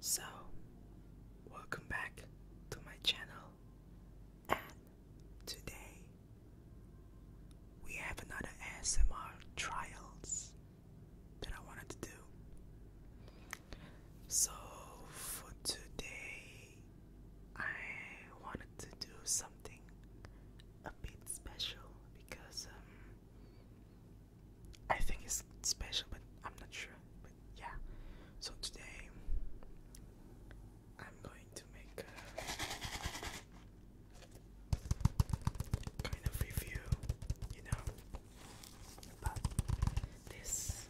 So, welcome back to my channel, and today we have another ASMR trials that I wanted to do. So, for today, I wanted to do something a bit special because um, I think it's special, but I'm not sure. But yeah, so today I'm going to make a kind of review, you know, about this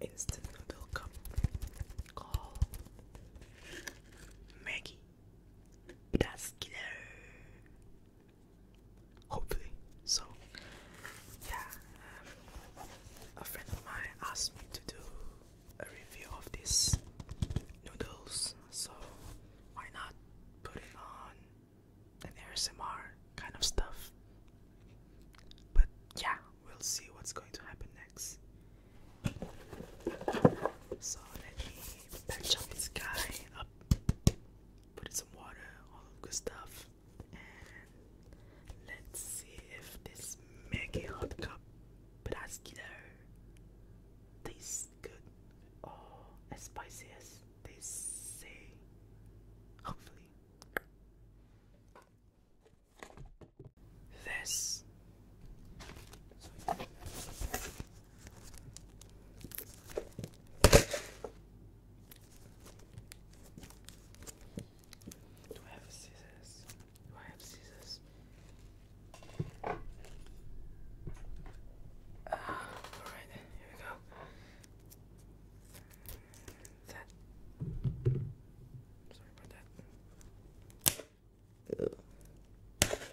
instant noodle cup called Maggie. That's Hopefully. So, yeah, um, a friend of mine asked me to do a review of these noodles, so why not put it on an ASMR kind of stuff? But yeah, we'll see what's going to happen next. So let me patch up this guy up put in some water, all of good stuff, and let's see if this mega hot cup brasquiller tastes good Oh, as spicy as they say. Hopefully, this. Do I have scissors? Do I have scissors? Uh, Alright, here we go. That. Sorry about that.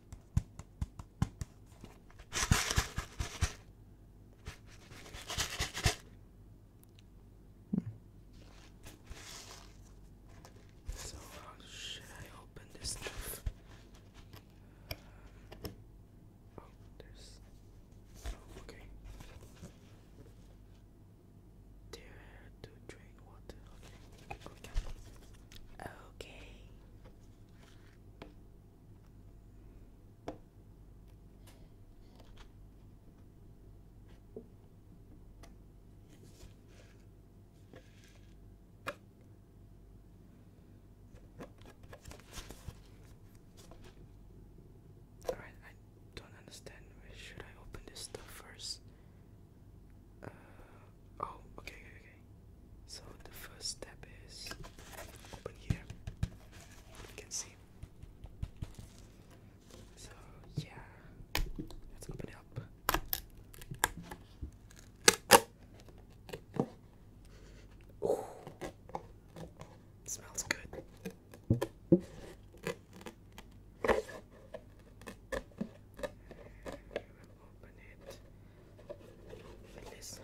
So how should I open this um, oh, there's. Oh, okay. Dare to drink water. Okay. Okay. Alright, I don't understand. Should I open this stuff first? Uh, Oh, okay, okay, So the first step is open here. You can see. So yeah, let's open it up. Ooh. It smells good. Open it at least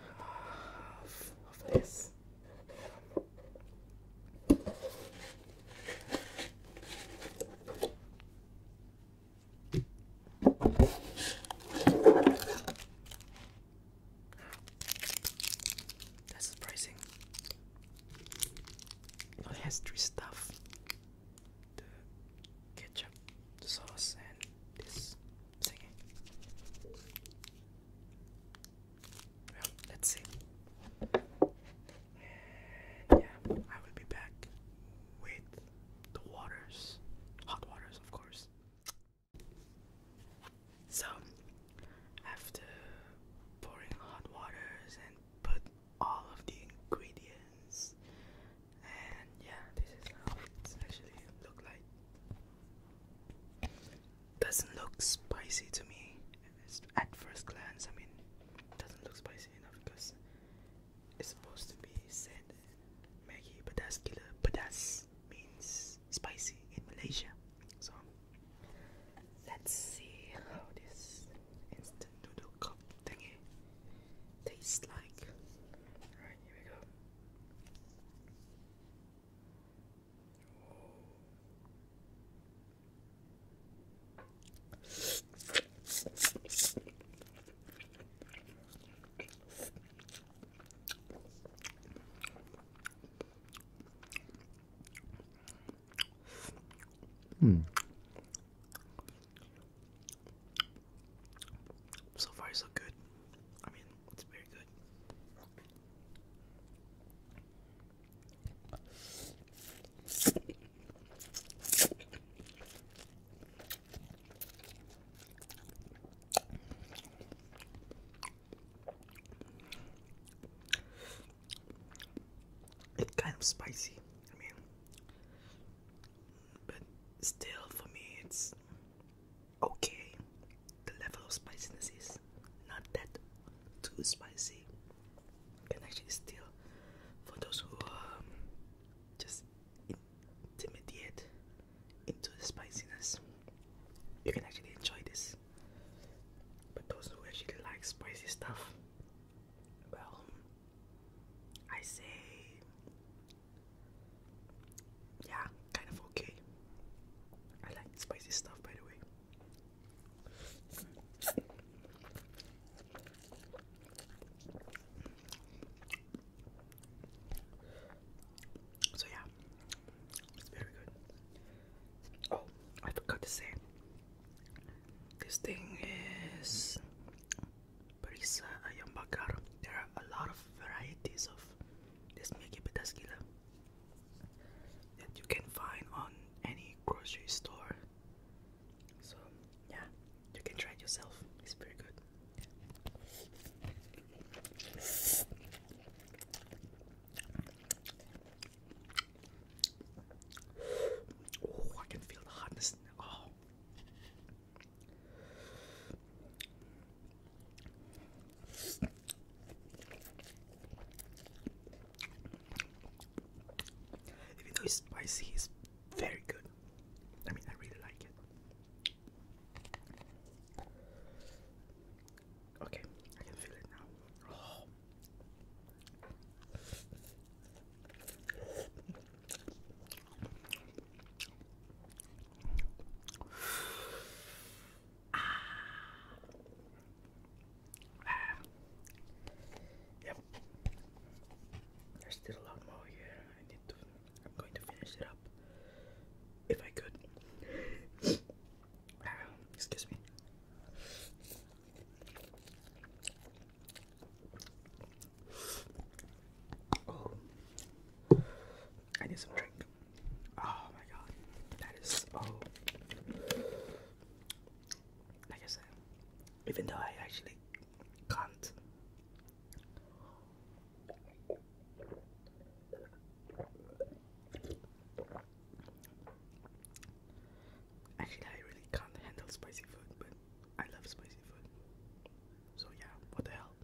this. That's surprising. It stuff the ketchup, the sauce, and this thingy. let's see. yeah, I will be back with the waters, hot waters, of course. So, after pouring hot waters and put all of the ingredients and yeah this is how it's actually look like doesn't look spicy to me at first glance I mean doesn't look spicy enough because it's supposed to be said Maggie Pedas Killer Pedas means spicy in Malaysia so let's see how this instant noodle thingy tastes like. Alright, here we go. Hmm. So far, so good. I mean, it's very good. It's kind of spicy. I mean, but still, for me, it's okay. The level of spiciness is not that too spicy. You can actually still, for those who um, just intermediate into the spiciness, you can actually enjoy this. But those who actually like spicy stuff, well, I say, yeah, kind of okay. I like spicy stuff, by the way. So yeah, it's very good. Oh, I forgot to say, this thing is Brisa Ayambakar. There are a lot of varieties of this Megi Petaskila that you can find on any grocery store. So, yeah, you can try it yourself. It's pretty good. Oh, I can feel the hotness. Oh. Even though it's spicy, it's very good. I mean, I really like it. Okay, I can feel it now. Oh. Ah. Yep. There's still a lot more here. I need to I'm going to finish it up if I could. Ah, excuse me. I need some drink. Oh my god, that is oh. Like I said, even though I actually can't. Actually, I really can't handle spicy food, but I love spicy food. So, yeah, what the hell?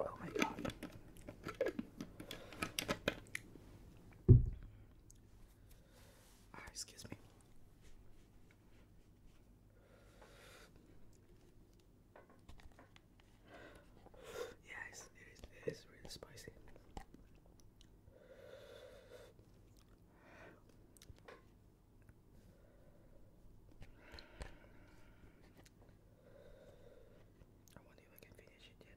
Oh my god. Ah, excuse me. Yeah, it's, It is really spicy. I wonder if I can finish it yet.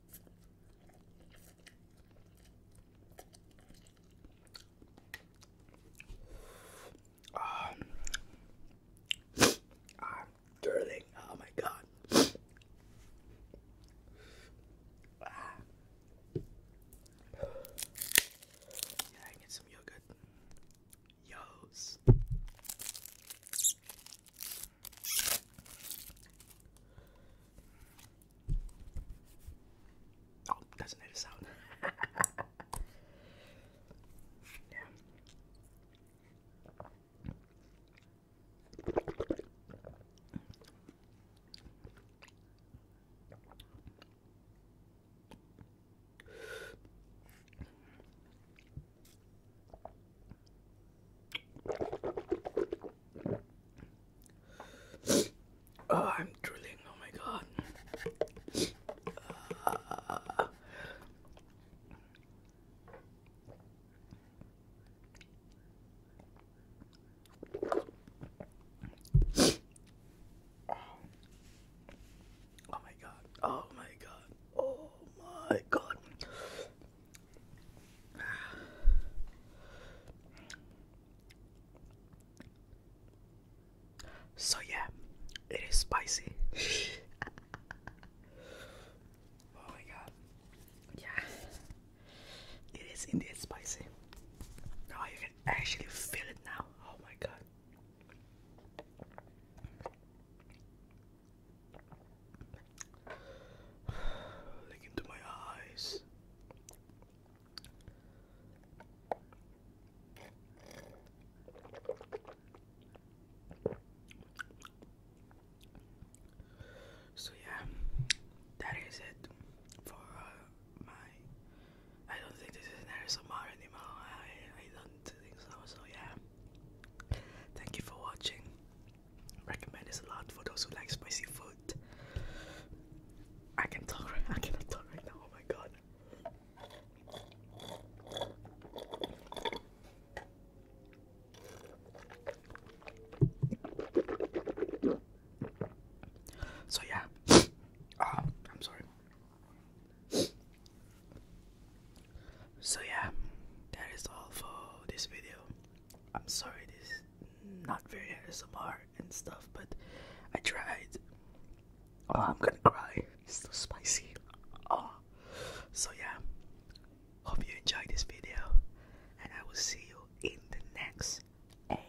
Um, i Oh my god. Yeah, I get some yogurt. Yos. Oh, doesn't it sound? yeah. Oh, I'm drooling. Oh my god. oh my god. Oh my god. Oh my god. So yeah, it is spicy. oh my god. Yeah. It is indeed spicy. oh, you can actually feel it now. Oh my god. Look into my eyes. So yeah, that is it for uh, my. I don't think this is an ASMR anymore. I I don't think so. So yeah, Thank you for watching. Recommend this a lot for those who like spicy food. I can talk right cannot talk right now, oh my god. So yeah, uh, I'm sorry. So yeah, that is all for this video. I'm sorry this is not very ASMR and stuff, but I tried. Oh, I'm gonna cry. It's so spicy. Oh. So yeah, hope you enjoy this video, and I will see you in the next A